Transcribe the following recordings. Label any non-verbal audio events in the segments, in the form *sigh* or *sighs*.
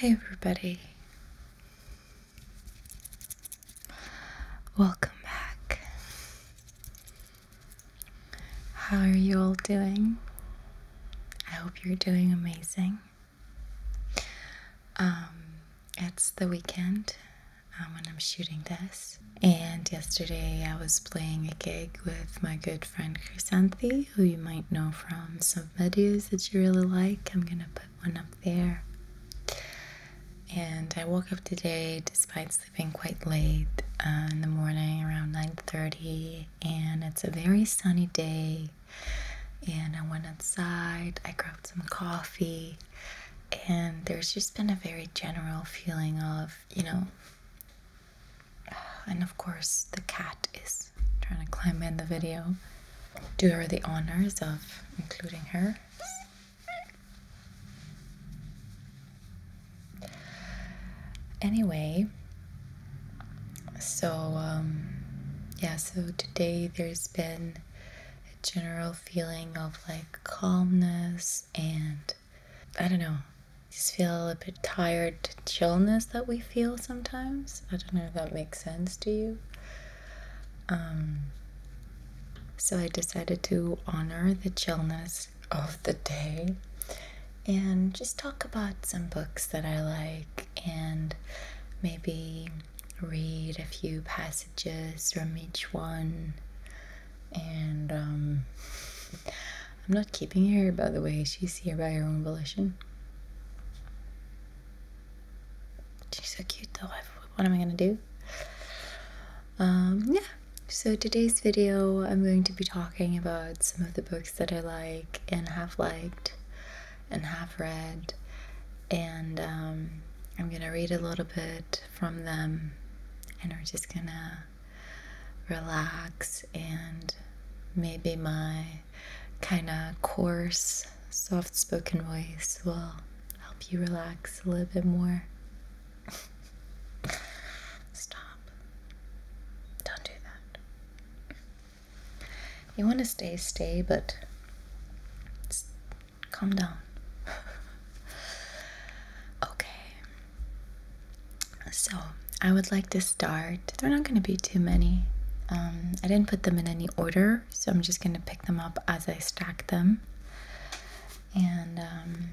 Hi, everybody. Welcome back. How are you all doing? I hope you're doing amazing. Um, it's the weekend, um, when I'm shooting this. And yesterday I was playing a gig with my good friend Chrysanthi, who you might know from some videos that you really like. I'm gonna put one up there. And I woke up today despite sleeping quite late uh, in the morning around 9.30 and it's a very sunny day and I went outside, I grabbed some coffee and there's just been a very general feeling of, you know, *sighs* And of course, the cat is trying to climb in the video. Do her the honors of including her. Anyway, so um, yeah, so today there's been a general feeling of like calmness and I don't know. Just feel a bit tired chillness that we feel sometimes. I don't know if that makes sense to you. Um, so I decided to honor the chillness of the day and just talk about some books that I like and maybe read a few passages from each one and um, I'm not keeping her, by the way. She's here by her own volition. She's so cute, though. What am I gonna do? Um, yeah. So today's video, I'm going to be talking about some of the books that I like and have liked and have read, and um, I'm gonna read a little bit from them, and we're just gonna relax and maybe my kind of coarse, soft spoken voice will help you relax a little bit more. *laughs* Stop. Don't do that. You want to stay, stay, but calm down. *laughs* okay, so I would like to start. They're not going to be too many. Um, I didn't put them in any order, so I'm just going to pick them up as I stack them. And um,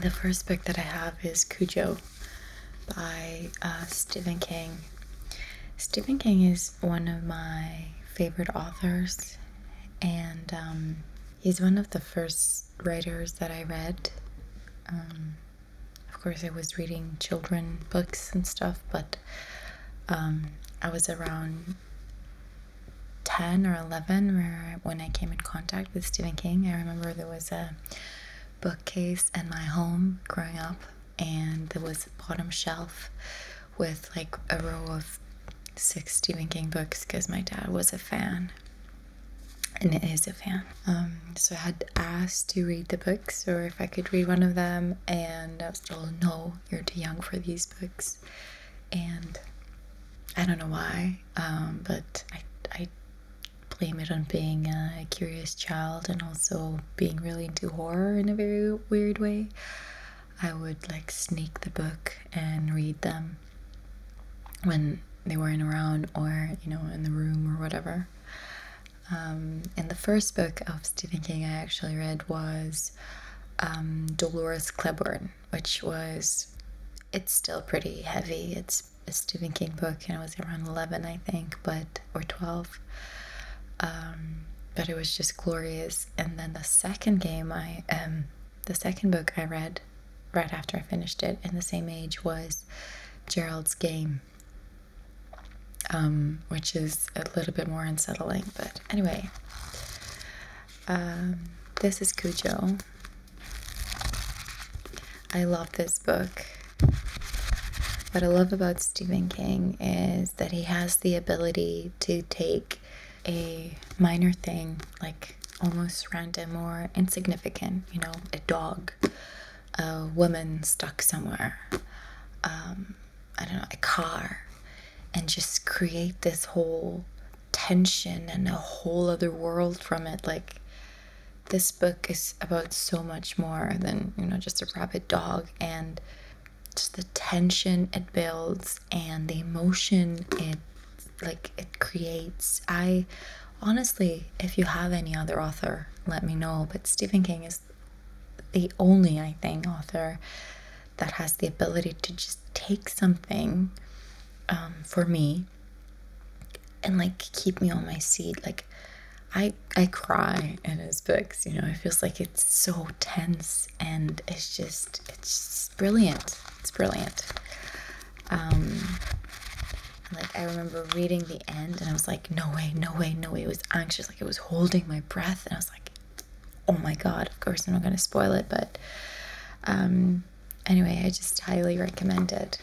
the first book that I have is Cujo by uh, Stephen King. Stephen King is one of my favorite authors, and um, he's one of the first writers that I read. Um, of course, I was reading children books and stuff, but um, I was around 10 or 11 where, when I came in contact with Stephen King. I remember there was a bookcase in my home growing up, and there was a bottom shelf with like a row of six Stephen King books because my dad was a fan and it is a fan. Um, so I had asked to read the books or if I could read one of them, and I was told no, you're too young for these books. And I don't know why, um, but I, I blame it on being a curious child and also being really into horror in a very weird way. I would like sneak the book and read them when they weren't around or, you know, in the room or whatever. Um, and the first book of Stephen King I actually read was um, Dolores Claiborne, which was it's still pretty heavy. It's a Stephen King book, and I was around eleven, I think, but or twelve. Um, but it was just glorious. And then the second game, I um, the second book I read right after I finished it, in the same age was Gerald's Game, um, which is a little bit more unsettling. But anyway, um, this is Cujo. I love this book. What I love about Stephen King is that he has the ability to take a minor thing, like almost random or insignificant, you know, a dog, a woman stuck somewhere, um, I don't know, a car and just create this whole tension and a whole other world from it. Like, this book is about so much more than, you know, just a rabid dog and just the tension it builds and the emotion it like it creates. I honestly, if you have any other author, let me know. But Stephen King is the only, I think, author that has the ability to just take something um, for me and like keep me on my seat. Like I I cry in his books, you know, it feels like it's so tense and it's just it's brilliant. It's brilliant. Um, like I remember reading the end and I was like, no way, no way, no way. It was anxious, like it was holding my breath, and I was like, oh my god, of course, I'm not going to spoil it, but um, anyway, I just highly recommend it.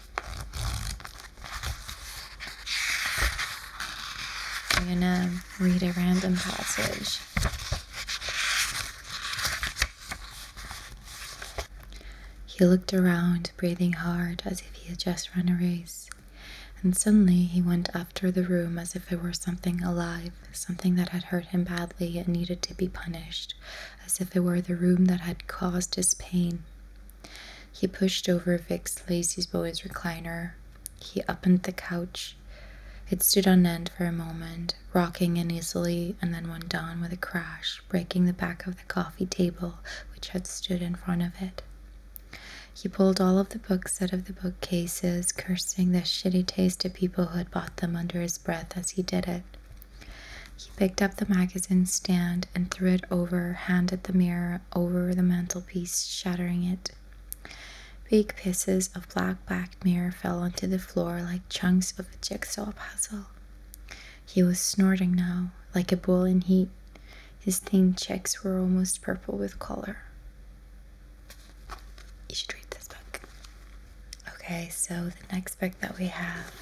I'm going to read a random passage. He looked around, breathing hard as if he had just run a race, and suddenly he went up after the room as if it were something alive, something that had hurt him badly and needed to be punished, as if it were the room that had caused his pain. He pushed over Vic's lazy boy's recliner. He opened the couch. It stood on end for a moment, rocking uneasily, and then went down with a crash, breaking the back of the coffee table which had stood in front of it. He pulled all of the books out of the bookcases, cursing the shitty taste of people who had bought them under his breath as he did it. He picked up the magazine stand and threw it over, handed the mirror over the mantelpiece, shattering it. Big pieces of black backed mirror fell onto the floor like chunks of a jigsaw puzzle. He was snorting now, like a bull in heat. His thin cheeks were almost purple with color you should read this book. Okay, so the next book that we have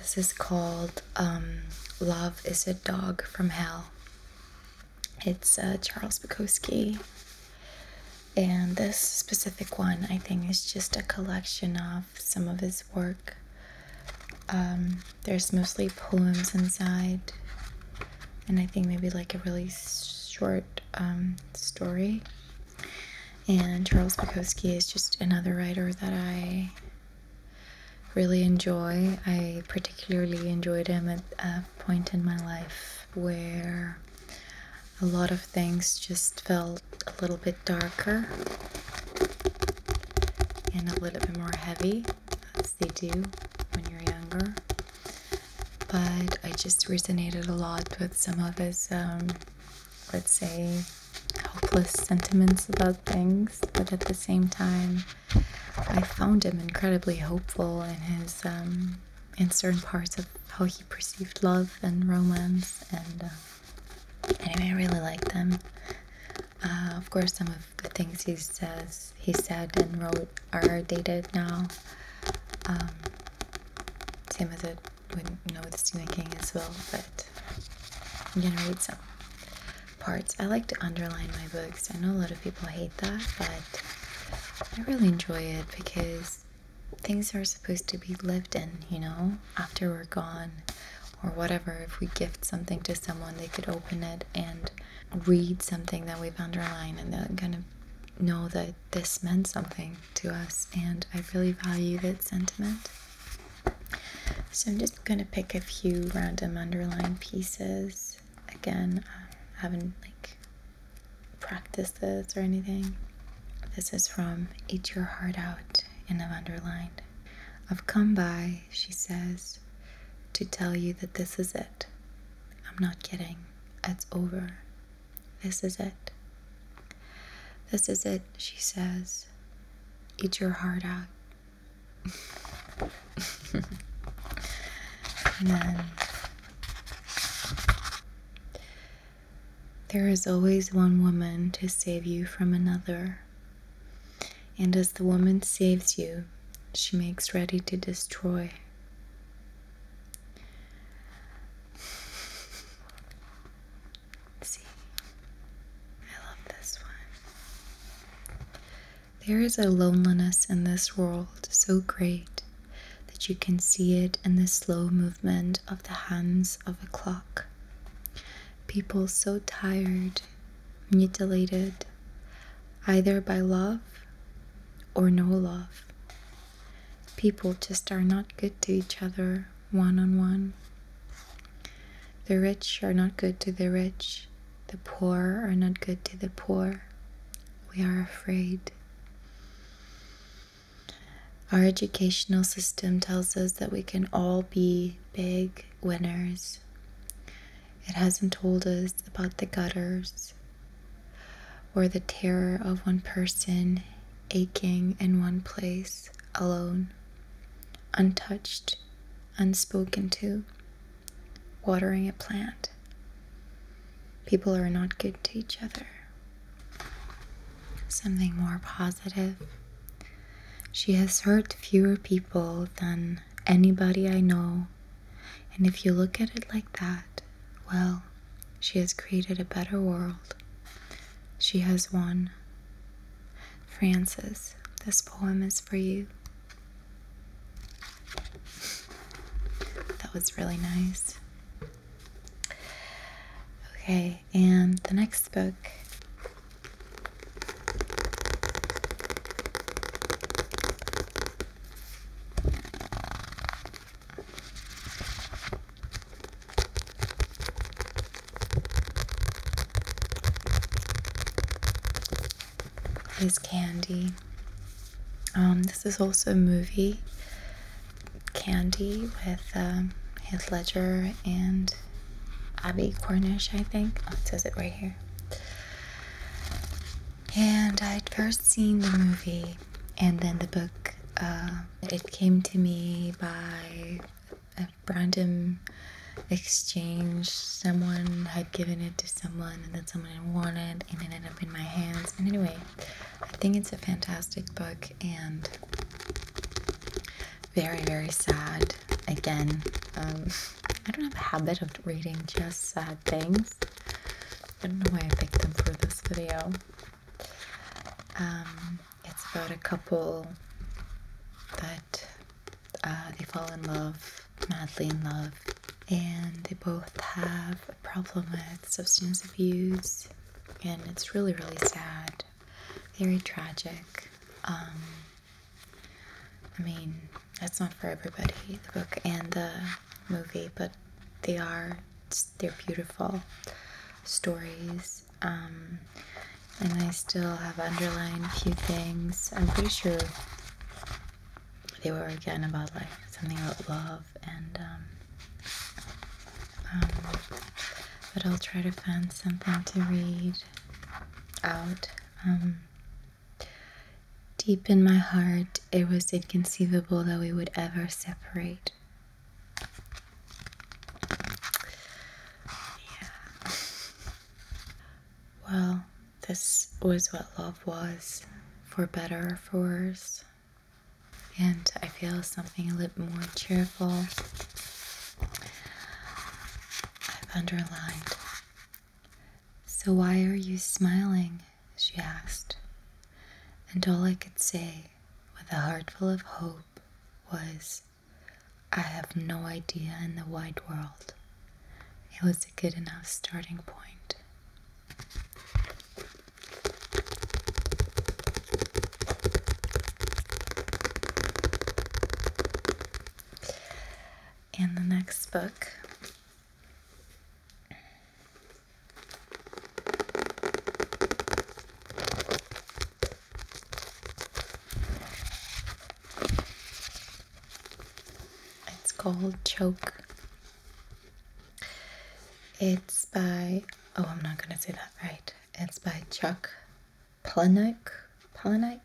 This is called um, Love is a Dog from Hell it's uh, Charles Bukowski. And this specific one, I think, is just a collection of some of his work. Um, there's mostly poems inside, and I think maybe like a really short um, story. And Charles Bukowski is just another writer that I really enjoy. I particularly enjoyed him at a point in my life where a lot of things just felt a little bit darker and a little bit more heavy, as they do when you're younger. But I just resonated a lot with some of his, um, let's say, hopeless sentiments about things, but at the same time, I found him incredibly hopeful in his um, in certain parts of how he perceived love and romance. And uh, anyway, I really liked him. Uh, of course, some of the things he says, he said and wrote are dated now. Timothy um, would as it would know with Stephen as well, but I'm gonna read some parts. I like to underline my books. I know a lot of people hate that, but I really enjoy it because things are supposed to be lived in, you know, after we're gone or whatever. If we gift something to someone, they could open it and read something that we've underlined and they're going to know that this meant something to us. And I really value that sentiment. So I'm just going to pick a few random underline pieces again, I uh, haven't like practiced this or anything. This is from Eat Your Heart Out and I've underlined. I've come by, she says, to tell you that this is it. I'm not kidding. It's over. This is it. This is it, she says. Eat your heart out. There is always one woman to save you from another. And as the woman saves you, she makes ready to destroy. See, I love this one. There is a loneliness in this world so great that you can see it in the slow movement of the hands of a clock. People so tired, mutilated, either by love or no love. People just are not good to each other one on one. The rich are not good to the rich, the poor are not good to the poor. We are afraid. Our educational system tells us that we can all be big winners. It hasn't told us about the gutters or the terror of one person aching in one place alone, untouched, unspoken to, watering a plant. People are not good to each other. Something more positive. She has hurt fewer people than anybody I know. And if you look at it like that, well, she has created a better world. She has won. Francis, this poem is for you. That was really nice. Okay, and the next book is Candy. Um, this is also a movie, Candy, with um, Heath Ledger and Abby Cornish, I think. Oh, it says it right here. And i first seen the movie and then the book. Uh, it came to me by a random exchange. Someone had given it to someone, someone had wanted and it ended up in my hands. And anyway, I think it's a fantastic book and very, very sad. Again, um, *laughs* I don't have a habit of reading just sad things. I don't know why I picked them for this video. Um, it's about a couple that uh, they fall in love, madly in love, and they both have a problem with substance abuse, and it's really, really sad, very tragic. Um, I mean, that's not for everybody, the book and the movie, but they are, they're beautiful stories. Um, and I still have underlined a few things. I'm pretty sure they were again about like something about love and um, um, but I'll try to find something to read out. Um, deep in my heart, it was inconceivable that we would ever separate. Yeah. Well, this was what love was, for better or for worse. And I feel something a little more cheerful. I've underlined. So, why are you smiling? she asked. And all I could say, with a heart full of hope, was, I have no idea in the wide world. It was a good enough starting point. In the next book it's called Choke. It's by oh, I'm not gonna say that right. It's by Chuck Palahniuk. Palahniuk.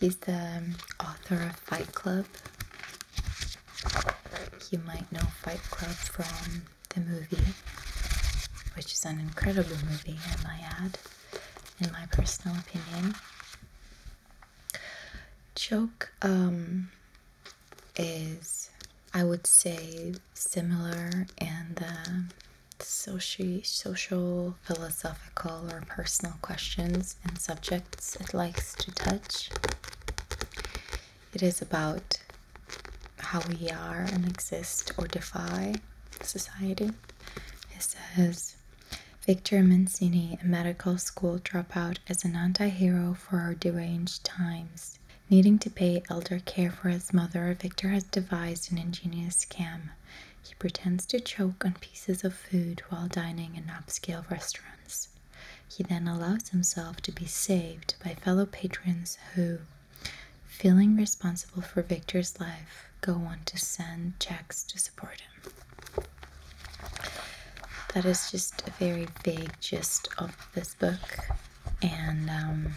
He's the um, author of Fight Club. You might know Fight Club from the movie, which is an incredible movie, I might add, in my personal opinion. Joke um, is, I would say, similar in the soci social, philosophical, or personal questions and subjects it likes to touch. It is about how we are and exist or defy society. It says, Victor Mancini, a medical school dropout, is an anti hero for our deranged times. Needing to pay elder care for his mother, Victor has devised an ingenious scam. He pretends to choke on pieces of food while dining in upscale restaurants. He then allows himself to be saved by fellow patrons who, feeling responsible for Victor's life, go on to send checks to support him. That is just a very big gist of this book, and um,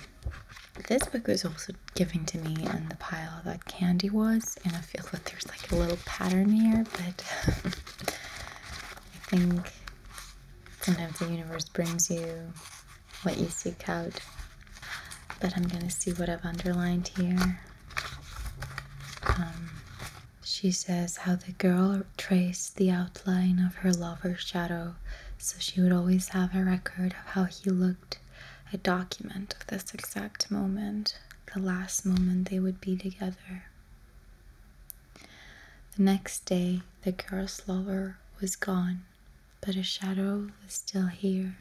this book was also given to me in the pile that candy was, and I feel that there's like a little pattern here, but *laughs* I think sometimes the universe brings you what you seek out. But I'm gonna see what I've underlined here. Um, she says how the girl traced the outline of her lover's shadow so she would always have a record of how he looked, a document of this exact moment, the last moment they would be together. The next day, the girl's lover was gone, but a shadow was still here.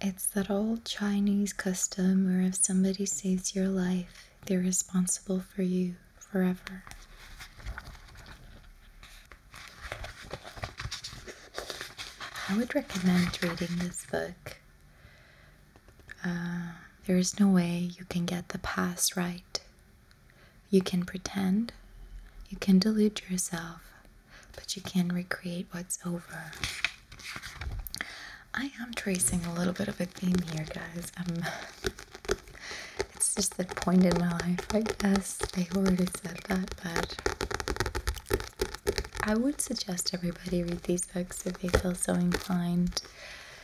It's that old Chinese custom where if somebody saves your life, they're responsible for you forever. I would recommend reading this book. Uh, there is no way you can get the past right. You can pretend, you can delude yourself, but you can recreate what's over. I am tracing a little bit of a theme here, guys. Um, *laughs* it's just the point in my life, I guess. I already said that, but I would suggest everybody read these books if they feel so inclined.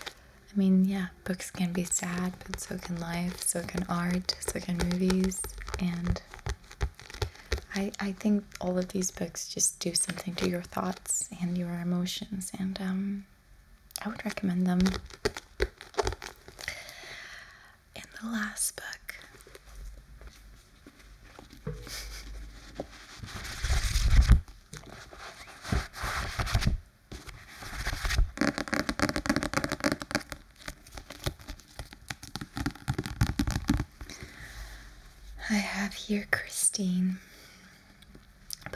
I mean, yeah, books can be sad, but so can life, so can art, so can movies, and I, I think all of these books just do something to your thoughts and your emotions, and um, I would recommend them. In the last book, I have here Christine.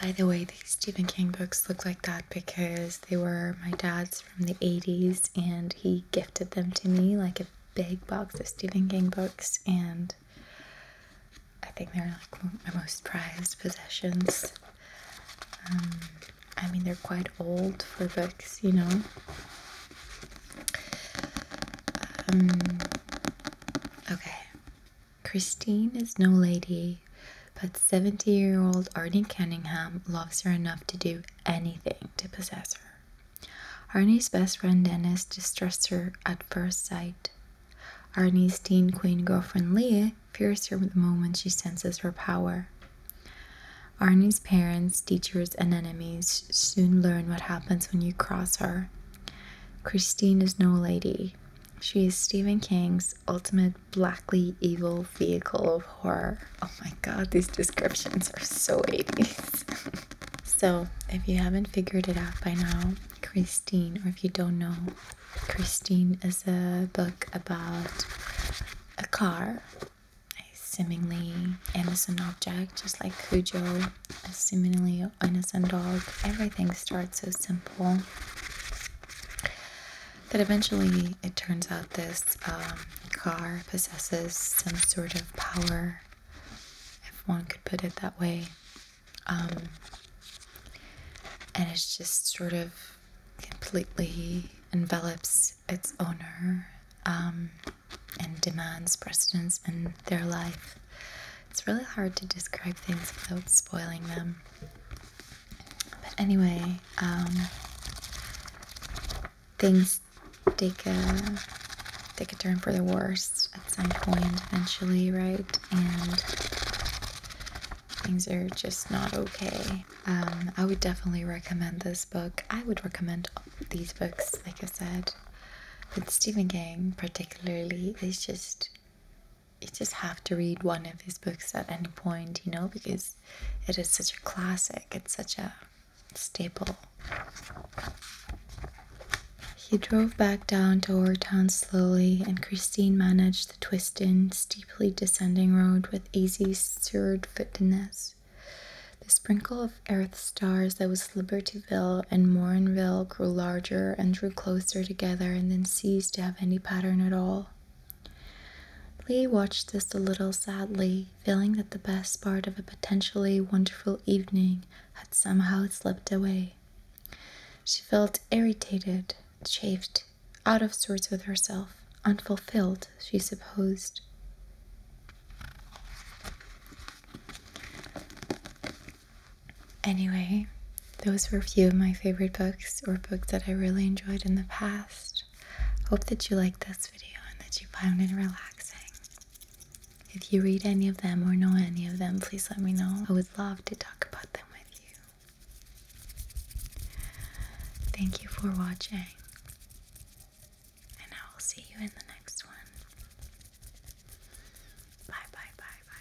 By the way, these Stephen King books look like that because they were my dad's from the 80s and he gifted them to me like a big box of Stephen King books and I think they're like my most prized possessions. Um, I mean, they're quite old for books, you know. Um, okay. Christine is no lady, but 70 year old Arnie Cunningham loves her enough to do anything to possess her. Arnie's best friend Dennis distrusts her at first sight. Arnie's teen queen girlfriend Leah fears her the moment she senses her power. Arnie's parents, teachers, and enemies soon learn what happens when you cross her. Christine is no lady. She is Stephen King's ultimate blackly evil vehicle of horror. Oh my god, these descriptions are so 80s. *laughs* so, if you haven't figured it out by now, Christine, or if you don't know, Christine is a book about a car, a seemingly innocent object, just like Cujo a seemingly innocent dog. Everything starts so simple that eventually it turns out this um, car possesses some sort of power, if one could put it that way. Um, and it just sort of completely envelops its owner. Um, and demands precedence in their life. It's really hard to describe things without spoiling them. But anyway, um, things take a take a turn for the worse at some point eventually, right? And things are just not okay. Um, I would definitely recommend this book. I would recommend these books, like I said. But Stephen King, particularly, is just you just have to read one of his books at any point, you know, because it is such a classic, it's such a staple. He drove back down to our town slowly, and Christine managed the twisting, steeply descending road with easy, assured footiness. The sprinkle of earth stars that was Libertyville and Morinville grew larger and drew closer together and then ceased to have any pattern at all. Lee watched this a little sadly, feeling that the best part of a potentially wonderful evening had somehow slipped away. She felt irritated, chafed, out of sorts with herself, unfulfilled, she supposed. Anyway, those were a few of my favorite books or books that I really enjoyed in the past. Hope that you liked this video and that you found it relaxing. If you read any of them or know any of them, please let me know. I would love to talk about them with you. Thank you for watching. And I will see you in the next one. Bye, bye, bye, bye.